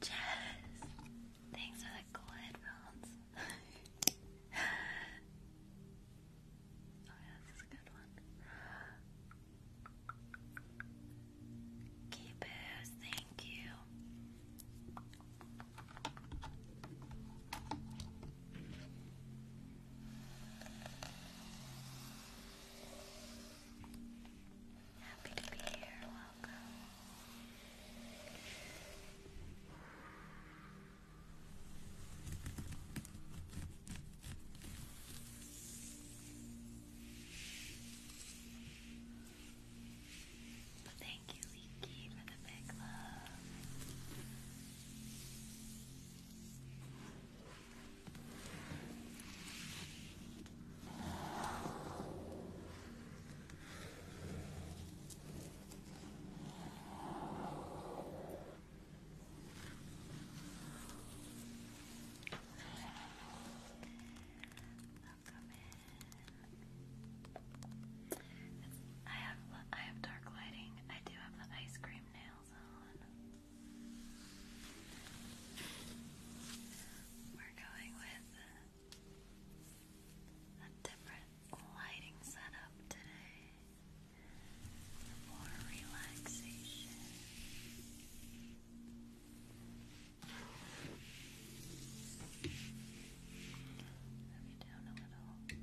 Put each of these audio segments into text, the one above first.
Jess, thanks for the cool headphones. oh, yeah, this is a good one. Keepers, thank you. Happy to be here. Welcome. Well, thank you, Leaky, for the big love. Welcome in. I have I have dark lighting. I do have the ice cream nails on. We're going with a different lighting setup today for relaxation. Let me down a little.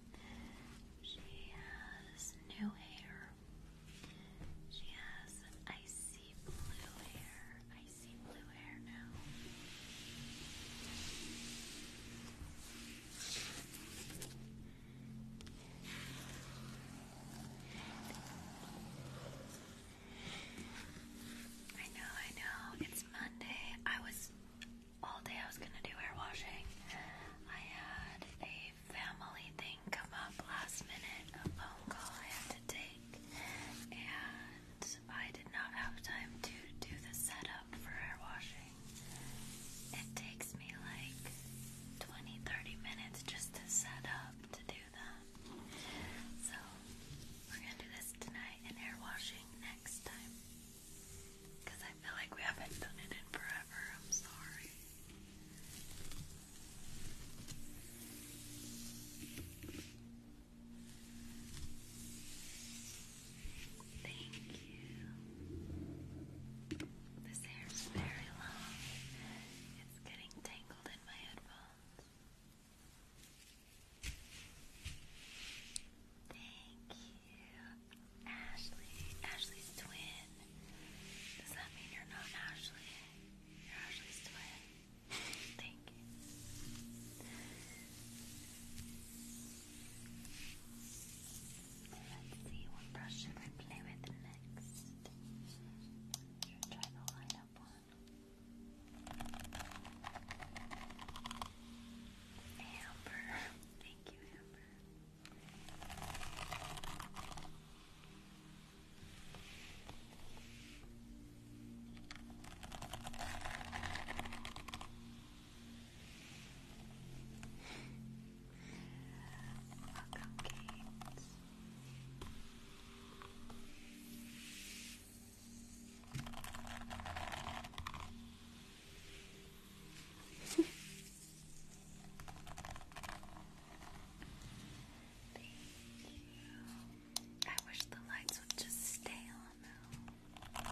she has new hair. She has icy blue hair. Icy blue hair now. I know, I know. It's Monday. I was all day I was gonna do hair washing. I had a family thing come up last minute, a phone call I had to take, and I did not have time to do the setup for hair washing. It takes me like 20 30 minutes just to set up to do that. So, we're gonna do this tonight and hair washing next time. Because I feel like we haven't done it in forever. I'm sorry. Thank you. This hair's very long. It's getting tangled in my headphones. Thank you, Ashley. Ashley's twin. Does that mean you're not Ashley? You're Ashley's twin. Thank you. Let's see what brush should I play with next. try the light one? Amber. Thank you, Amber. Welcome, Kate. Thank I wish the lights would just stay on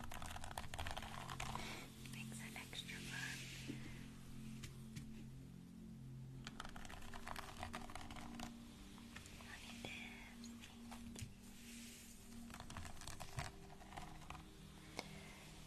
Makes it extra fun. thank you.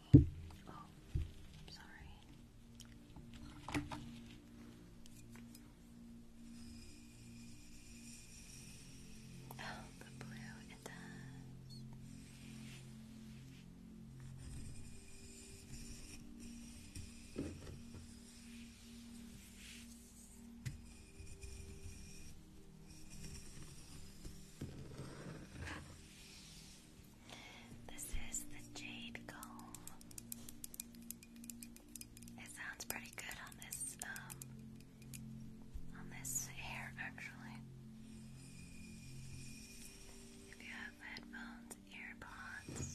Oh, sorry. Oh, the blue, it does. This is the Jade Comb. It sounds pretty good on this, um, on this hair actually. If you have headphones, earpods,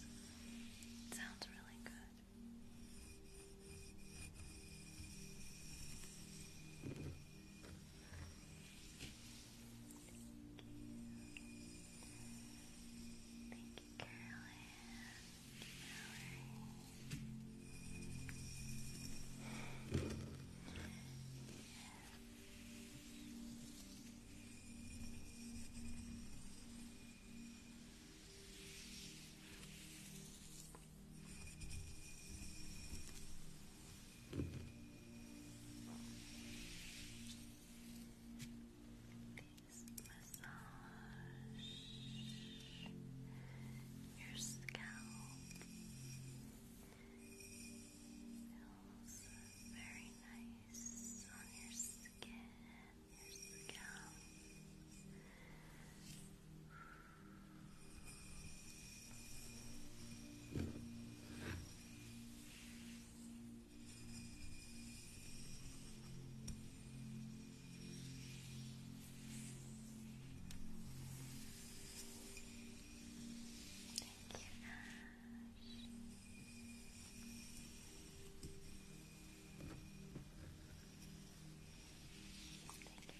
sounds really good. Thank you, Caroline. Caroline. Thank massage your scalp feels very nice on your skin, your scalp. Thank you, Nash. Thank you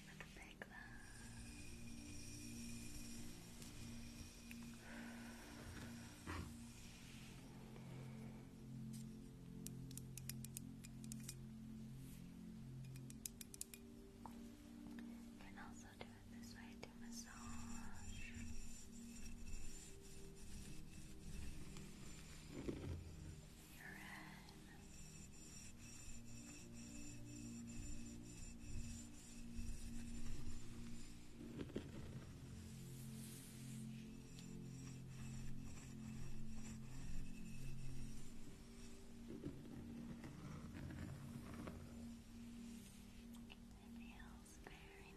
for the big love. You can also do it this way to massage. You're in feels very nice.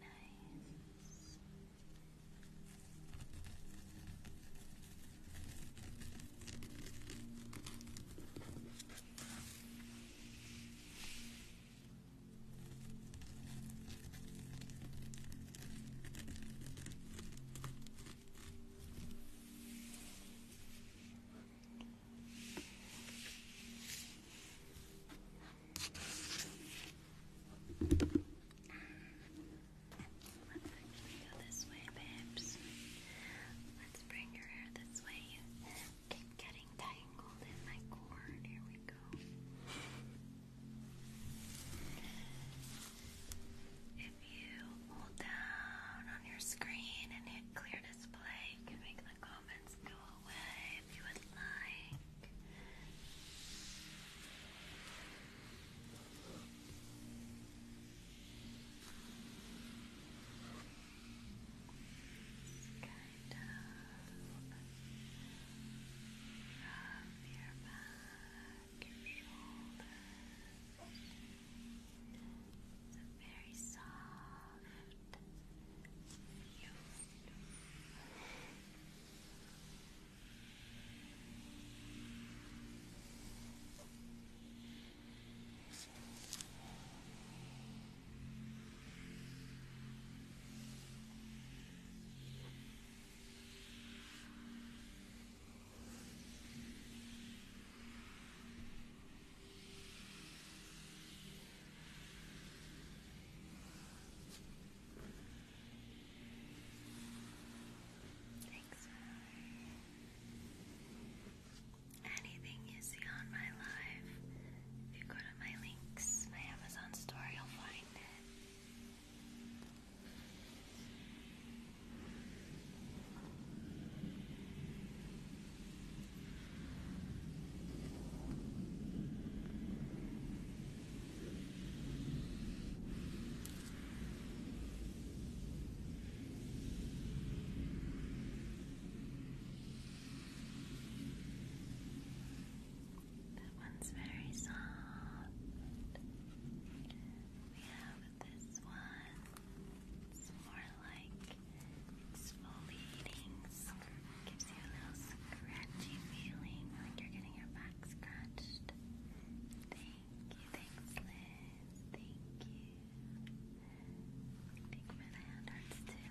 Now can we go this way, babes? Let's bring your hair this way keep getting tangled in my cord. Here we go. If you hold down on your screen and hit clear display, you can make the comments go away if you would like kind of from your back, your shoulders. It's a very soft feeling. Just Thanks, Mallory anything you see on my live, if you go to my links, my Amazon store, you'll find it. That one's very soft. We have this one. It's more like exfoliating. Gives you a little scratchy feeling, like you're getting your back scratched. Thank you, thanks Liz. Thank you. Big man hand hurts too. Good.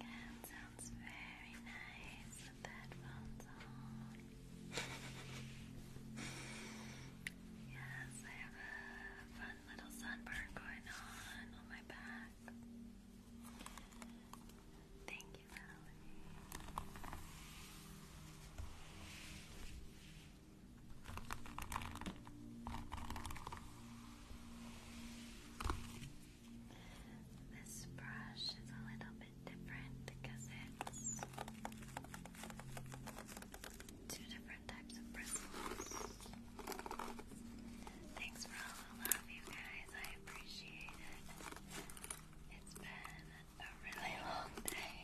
And sounds very nice with that on. yes, I have a fun little sunburn going on on my back. Thank you, This brush is a little bit different because it's two different types of bristles. Thanks for all the love, you guys. I appreciate it. It's been a really long day.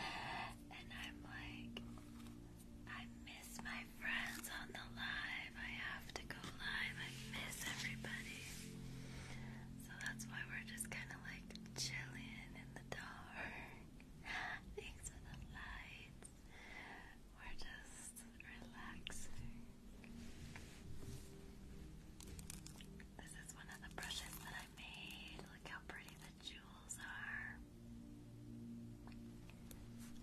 And I'm like, I miss my friends on the live. I have to go live. I miss everybody. So that's why we're just kind of like chilling in the dark. Thanks for the light. We're just relaxing. This is one of the brushes that I made. Look how pretty the jewels are.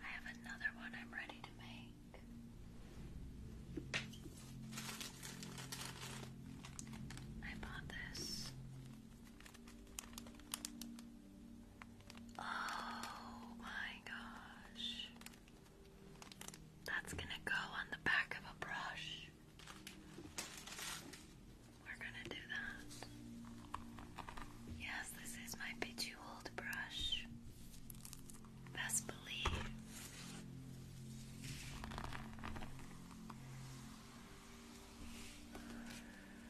I have another one I'm ready to make. I bought this Oh my gosh. That's gonna go on the back of a brush. We're gonna do that. Yes, this is my old brush. Best believe.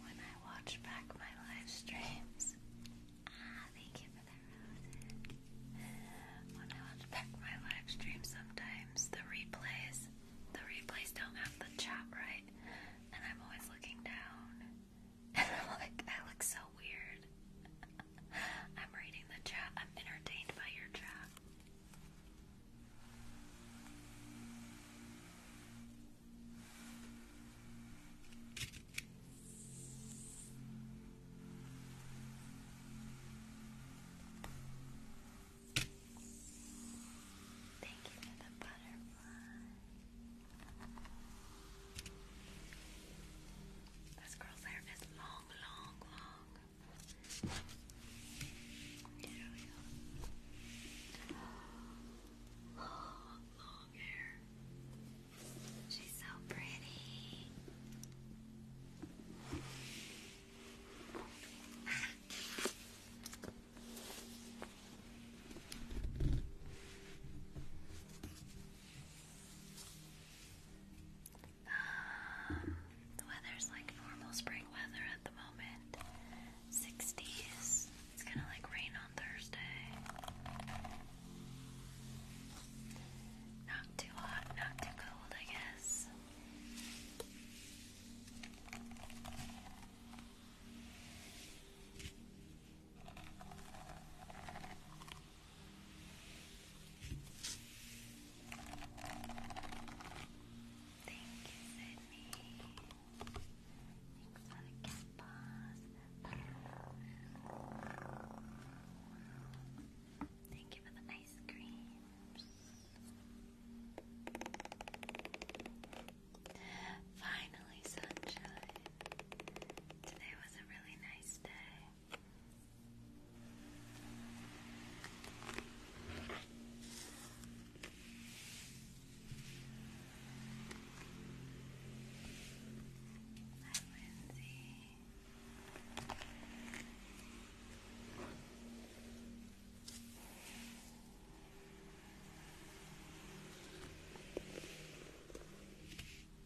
When I watch back my live streams, ah, thank you for that, When I watch back my live streams, sometimes the replays, the replays don't have the chat right, and I'm always looking down. And i I look so weird. I'm reading the chat. I'm entertained by your chat. Thank you for the butterfly. This girl's hair is long, long, long. long hair. She's so pretty the weather's like normal spring weather at the moment. 60s. It's gonna like rain on Thursday. Not too hot, not too cold, I guess. Thank you, Sydney. Thanks for the cat Thank you for the ice creams. Finally, sunshine. Today was a really nice day. Hi, Lindsay.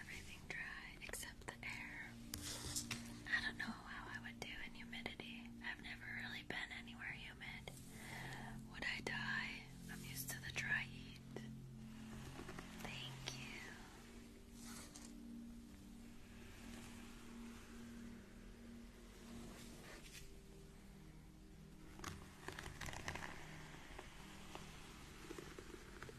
Everything dry except the air. I don't know how I would do in humidity. I've never really been anywhere humid. Would I die? I'm used to the dry heat. Thank you.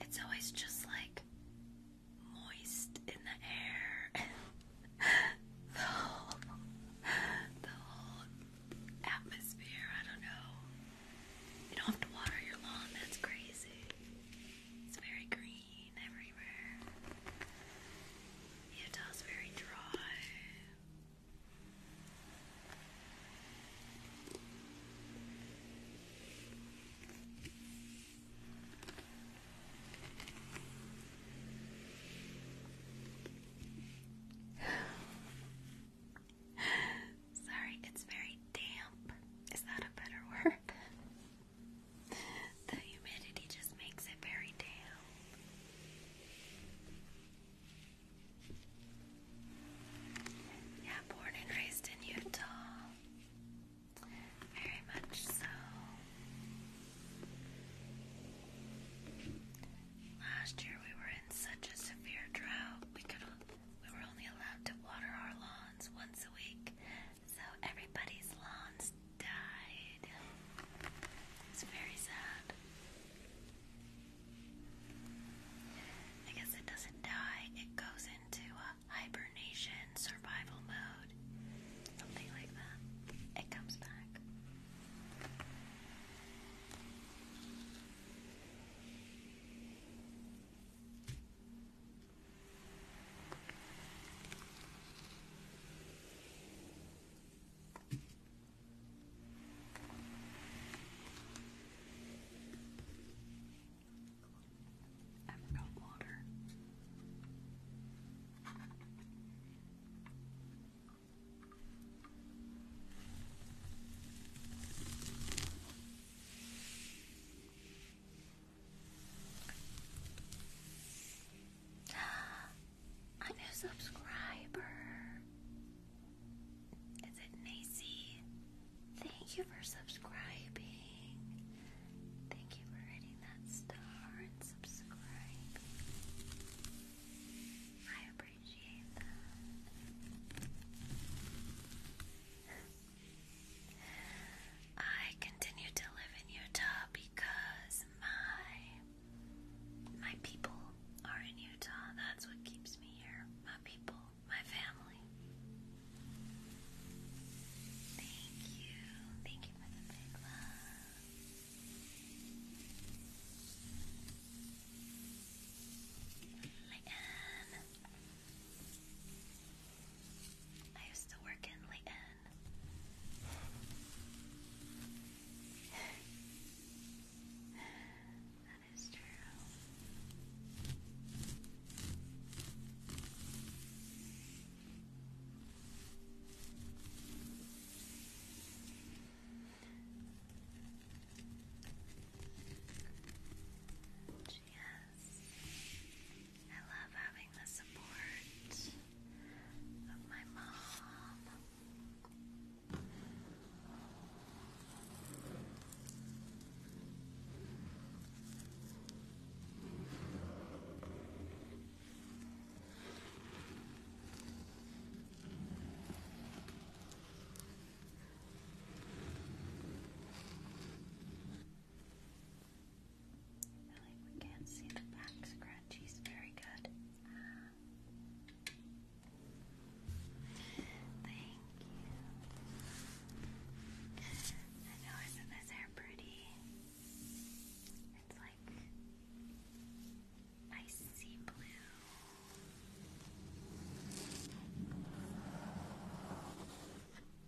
It's always just like moist in the air. the whole, the whole atmosphere. I don't know. You don't have to water your lawn. That's crazy. It's very green everywhere. Utah's very dry. Sorry, it's very damp. Is that a better word? the humidity just makes it very damp. Yeah, born and raised in Utah. Very much so. Last year we were in such a severe drought. We could we were only allowed to water our lawns once a week. So everybody's lawns died. It's very sad. I guess it doesn't die. It goes into a uh, hibernation, survival mode, something like that. It comes back. I am A subscriber. Is it Nacy? Thank you for subscribing. Thank you for hitting that star and subscribe. I appreciate that. I continue to live in Utah because my my people are in Utah. That's what keeps me here. My people my family. Thank you. Thank you for the big love. Leighton. I used to work in Leighton. that is true. Yes. I love having the support of my mom. Really, we can't see the back scratchies very good. Uh, you. I know, isn't this hair pretty? It's like icy blue.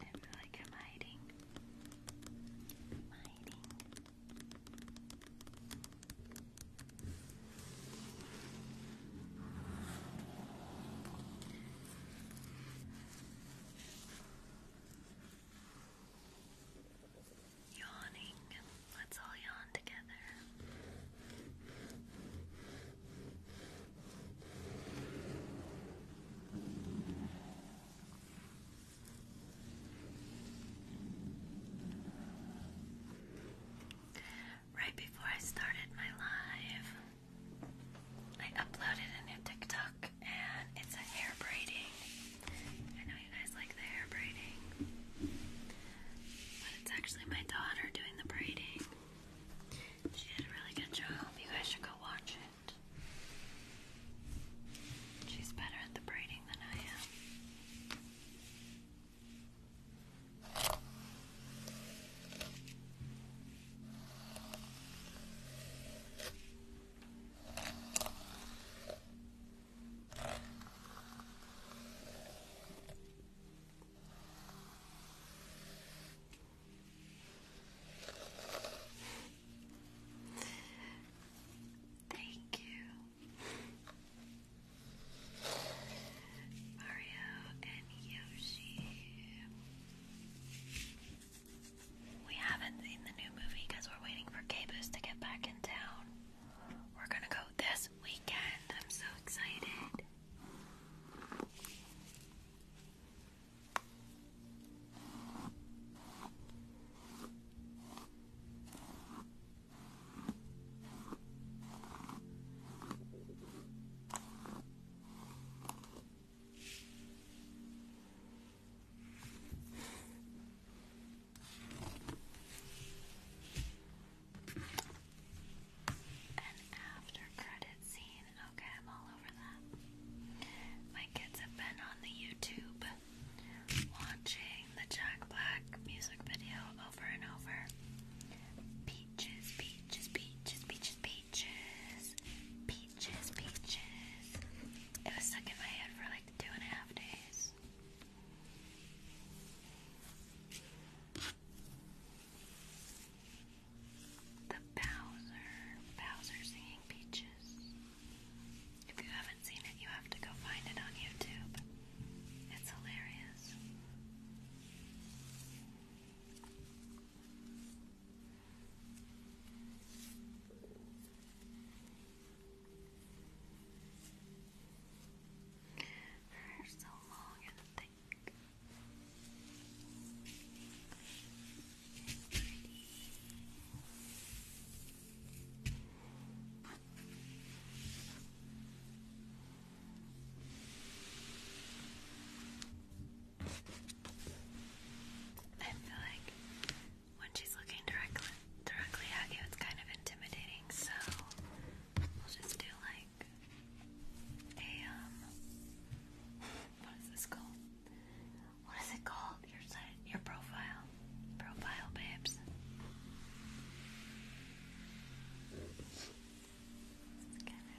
I feel like I'm hiding. I'm hiding. hiding Yawning. Let's all yawn together. Right before I started my live, I uploaded a new TikTok and it's a hair braiding. I know you guys like the hair braiding. But it's actually my daughter doing the braiding. She did a really good job. You guys should go watch it. She's better at the braiding than I am. Thank you, Mario and Yoshi. We haven't seen the new movie because we're waiting for Cabus to get back in town. We're gonna go this weekend. I'm so excited. An after credit scene. Okay, I'm all over that. My kids have been on the YouTube watching the Jack Black music video over and over. Peaches, peaches, peaches, peaches, peaches. Peaches, peaches, peaches. It was stuck in my head for like two and a half days. The Bowser, Bowser singing peaches. If you haven't seen it, you have to go find it on YouTube. It's hilarious. Her hair's so long and thick. I feel like when she's looking directly directly at you, it's kind of intimidating. So we'll just do like a um, what is this called? What is it called? Your side, your profile, profile, babes.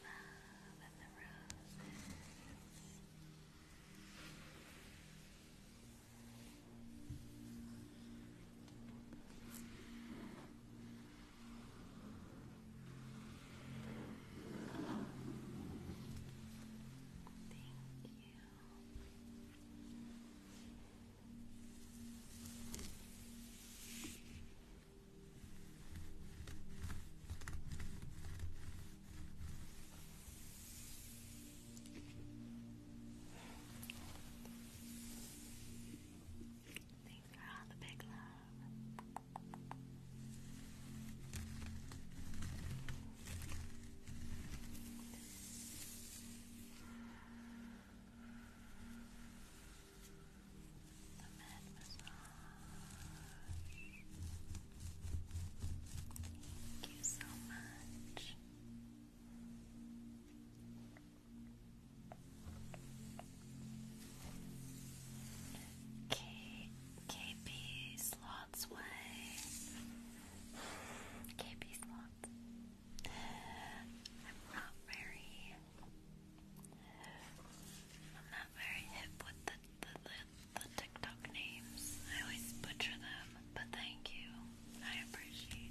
love and the roses. Thank you. Thank you Thanks for all the big love. Thank the massage. Thank you so much. K slots way. KP slots. I'm not very very hip with the, the, the, TikTok names. I always butcher them, but thank you. I appreciate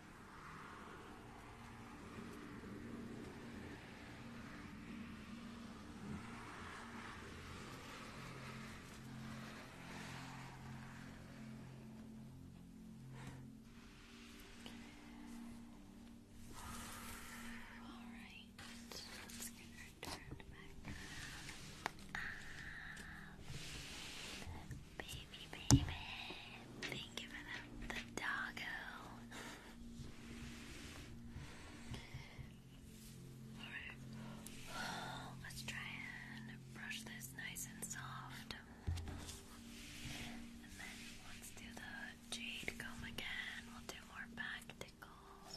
Alright, let's get her turned back ah, Baby, baby, thank you for the the doggo. Alright, let's try and brush this nice and soft. And then let's do the jade comb again. We'll do more back tickles.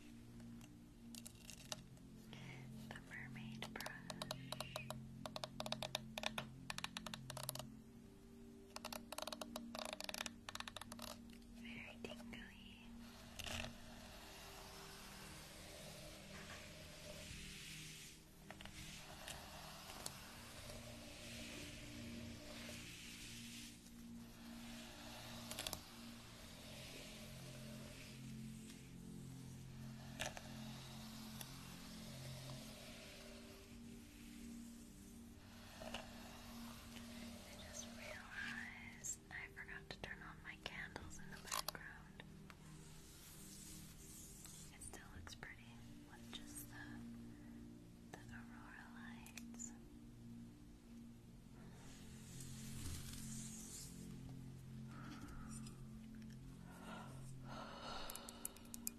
The mermaid brush. Very tingly. I just realized I forgot to turn on my candles in the background. It still looks pretty with just the the aurora lights.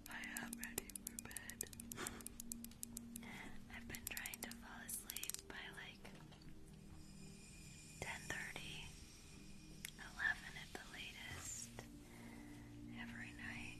I am ready for bed. I've been trying to fall asleep by like 10:30, at the latest every night.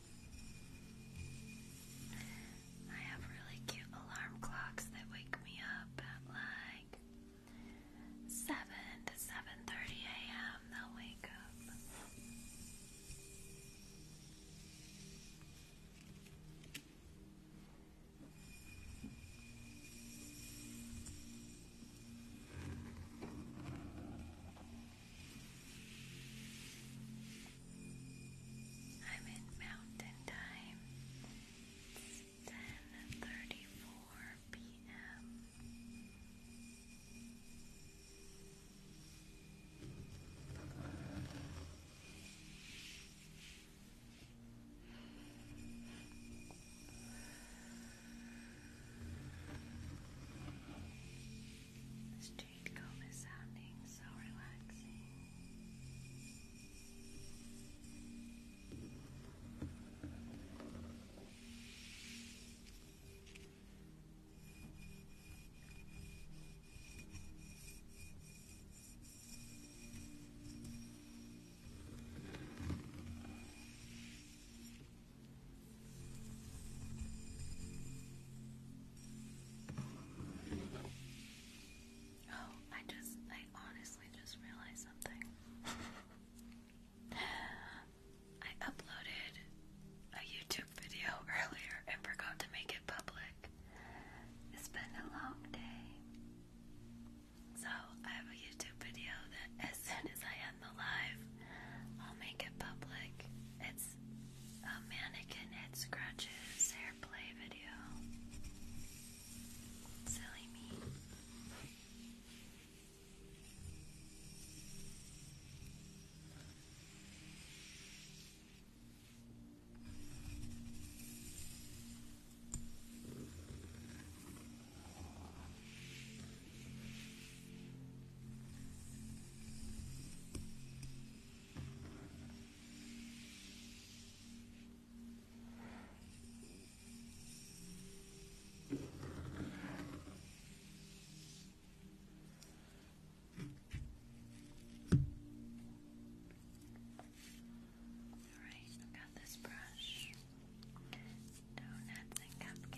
I have really cute alarm clocks that wake me up at like 7 to 7.30 a.m. They'll wake up. I'm in mountain time. ten thirty four PM jade comb is sounding so relaxing. Now Oh, I just, I honestly just realized something. I uploaded a YouTube video earlier and forgot to make it public. It's been a long day. So, I have a YouTube video that as soon as I end the live, I'll make it public. It a mannequin head scratches hair play video. Silly me. Alright, I've got this brush. Donuts and cupcakes.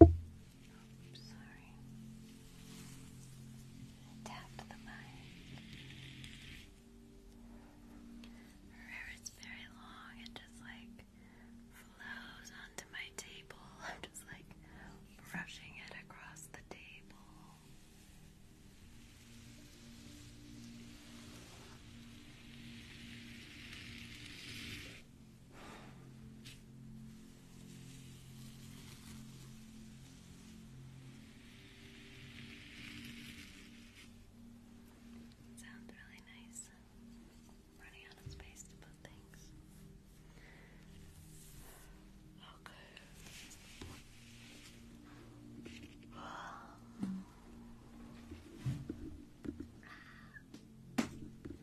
Oh, I'm sorry. Tap the mic. Her hair is very long, it just like flows onto my table. I'm just like brushing it across the table. Sounds really nice. Running out of space to put things. Okay.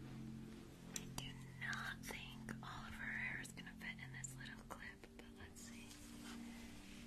I do not think all of her hair is going to fit in this little clip, but let's see.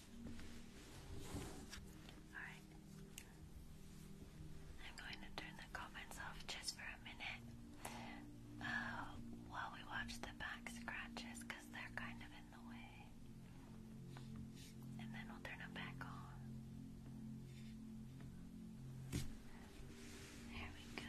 Alright. I'm going to turn the comments off just for a minute uh, while we watch the back scratches because they're kind of in the way. And then we'll turn them back on. There we go.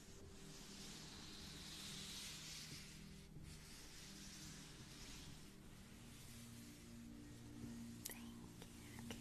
you, K-Boost. Thank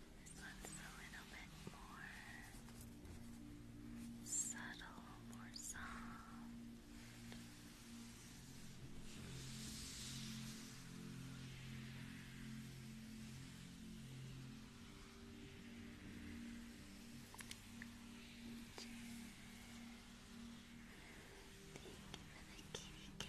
Let's a little bit more subtle, more soft. Thank you for kitty cat.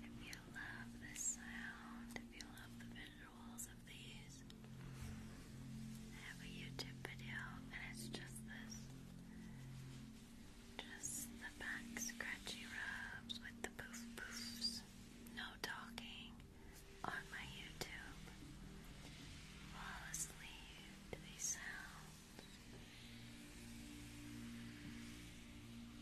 If you love this sound, if you love the visuals of these, I have a YouTube video and it's just this. Just the back scratchy rubs with the poof poofs. No talking on my YouTube. Fall asleep to these sounds.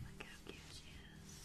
Look how cute she is.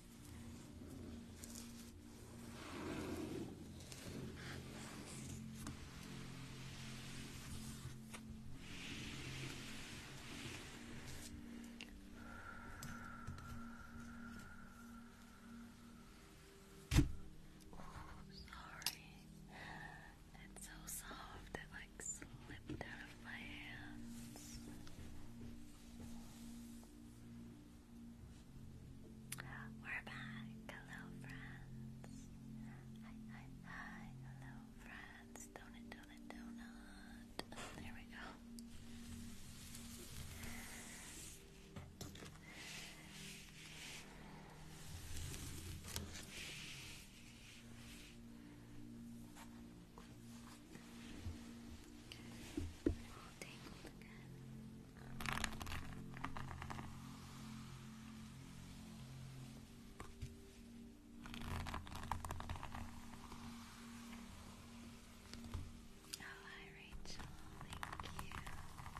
Sorry, it's so soft it like slipped out of my hands. We're back. Hello, friends. Hi, hi, hi. Hello, friends. Donut, donut, donut. There we go all tangled again. Oh, hi Rachel, thank you. All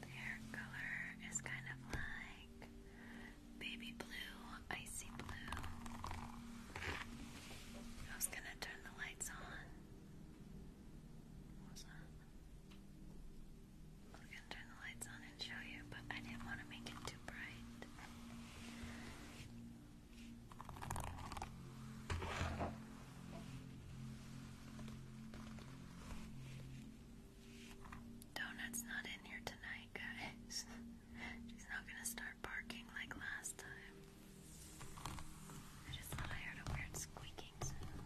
Their color is kind of like baby blue, icy blue. I was gonna turn the lights on. was that? I was gonna turn the lights on and show you, but I didn't want to make it too bright. Donut's not in here tonight, guys. She's not gonna start barking like last time. I just thought I heard a weird squeaking sound.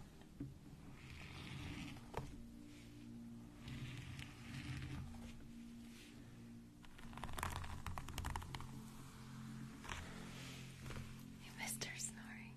You missed her snoring.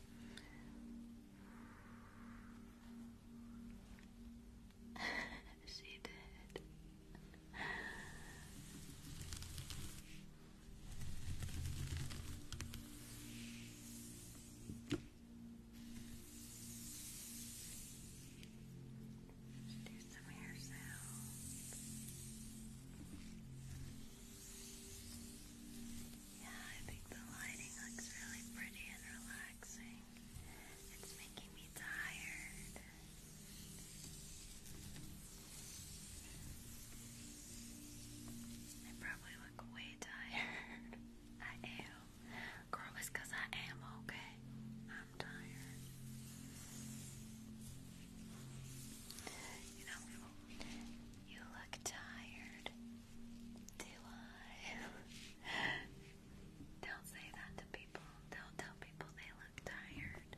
she did. do some hair sounds. Yeah, I think the lighting looks really pretty and relaxing. It's making me tired. I probably look way tired. I am. Girl, it's I am okay. I'm tired. You know, you look tired. Do I? Don't say that to people. Don't tell people they look tired.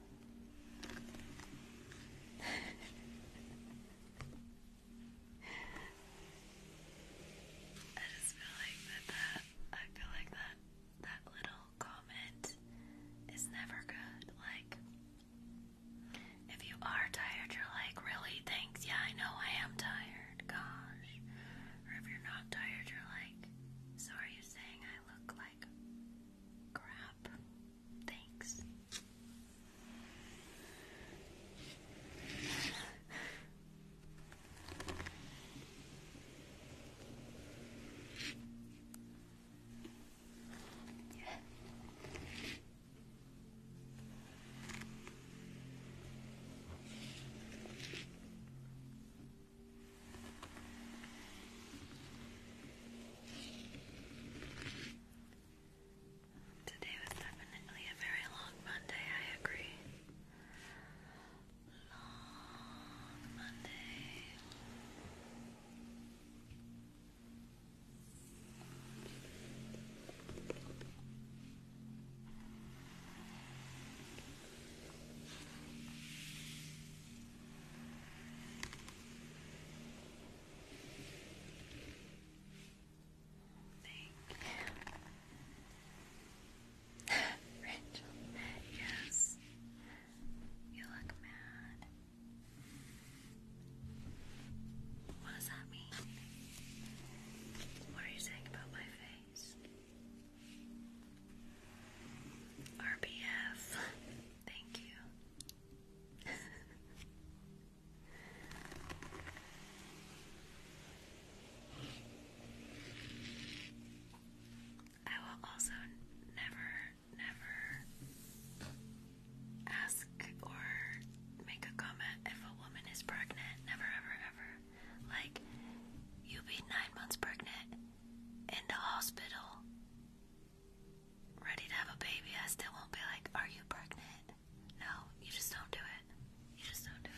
I just feel like that, I feel like that that little comment is never good. Like if you are tired, you're like, really? Thanks. Yeah, I know I am tired. Gosh. Or if you're not tired, you're like, so are you saying I look like crap? Thanks. yeah. Today was definitely a very long Monday, I agree. Long Monday. Thank you. Rachel, yes. You look mad. What does that mean? What are you saying about my face? RBF. Thank you. I will also never, never ask or make a comment if a woman is pregnant. Never, ever, ever. Like, you be nine months pregnant in the hospital ready to have a baby, I still won't be like, Are you pregnant? No, you just don't do it. You just don't do it.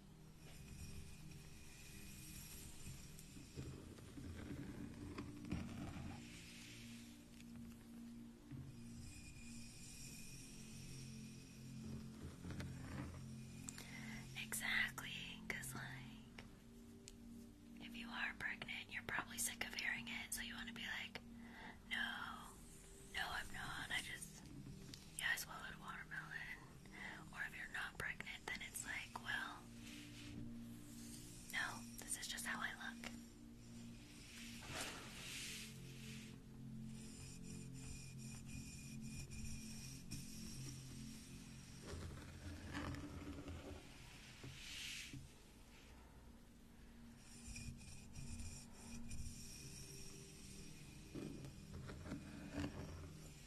Exactly, because, like, if you are pregnant, you're probably sick of hearing it, so you want to be like, no, no, I'm not. I just, yeah, I swallowed watermelon. Or if you're not pregnant, then it's like, well, no, this is just how I look.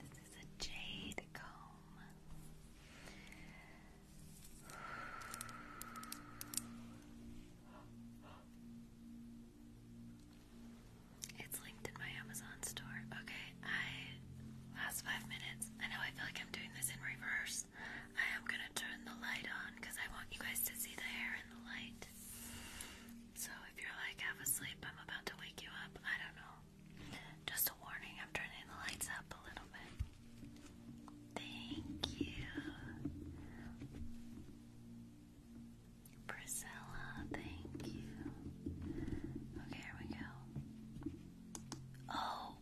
This is a jade comb. It's linked in my Amazon store. Okay, I last five minutes. I know I feel like I'm doing this in reverse. I am gonna turn the light on because I want you guys to see the hair in the light. So if you're like half asleep, I'm about to wake you up. I don't know. Just a warning, I'm turning the lights up a little bit. Thank you. Priscilla, thank you. Okay, here we go. Oh!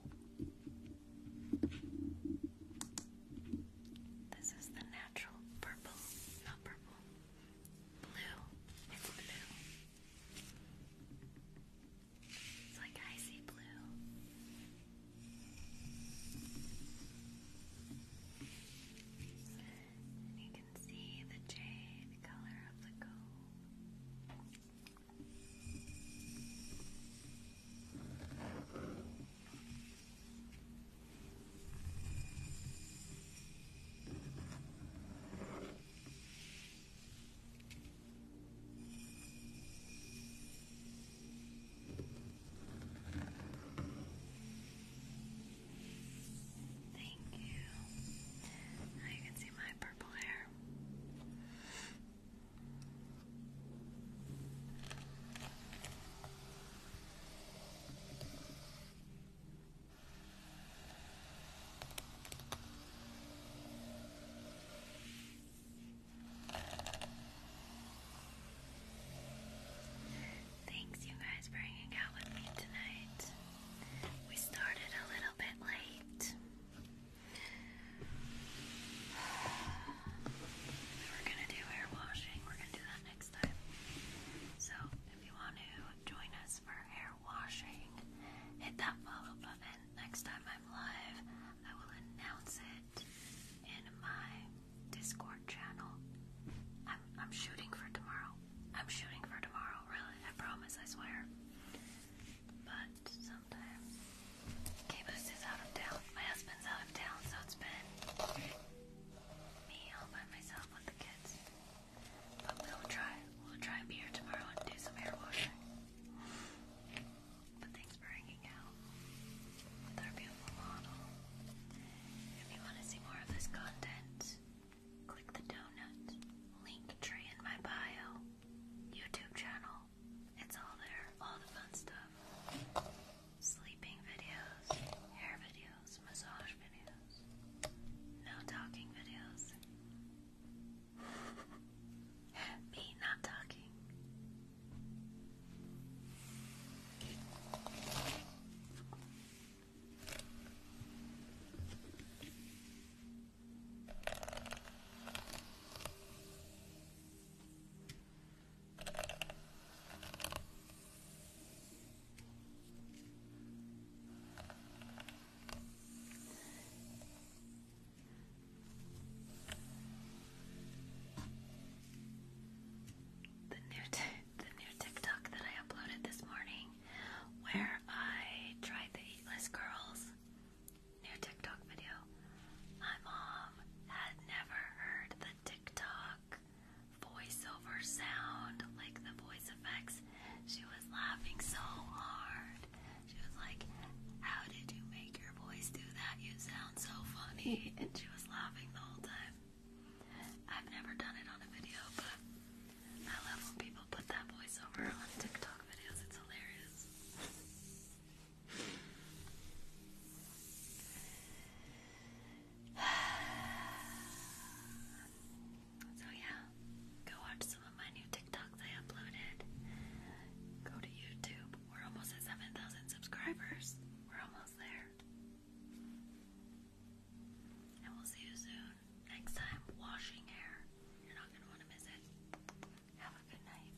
This is the natural purple, not purple, blue. It's blue. It's like icy blue. you can see the jade color of the gold. Thank you. Now you can see my purple hair. Thanks, you guys, for hanging out with me tonight. We started a little bit late. We were gonna do hair washing, we're gonna do that next time. So, if you want to join us for hair washing, hit that follow button next time I'm live, I will announce it in my Discord channel. I'm, shooting for tomorrow. I'm shooting for tomorrow, really. I promise, I swear. But sometimes. Caboose is out of town. My husband's out of town, so it's been me all by myself with the kids. But we'll try. We'll try and be here tomorrow and do some hair washing but thanks for hanging out with our beautiful model. If you want to see more of this content, click the donut, link tree in my bio, YouTube channel. It's all there, all the fun stuff. Sleeping videos, hair videos, massage videos, no talking videos. Me not talking. The new, TikTok that I uploaded this morning, where I tried the Eatless Girls new TikTok video. My mom had never heard the TikTok voiceover sound, like the voice effects. She was laughing so hard. She was like, How did you make your voice do that? You sound so funny. And she was laughing the whole time. I've never done it on a video, but I love when people put that voiceover on TikTok videos. It's hilarious. so, yeah, go watch some of my new TikToks I uploaded. Go to YouTube, we're almost at 7,000 subscribers. We're almost there. And we'll see you soon. Next time, washing hair. You're not going to want to miss it. Have a good night.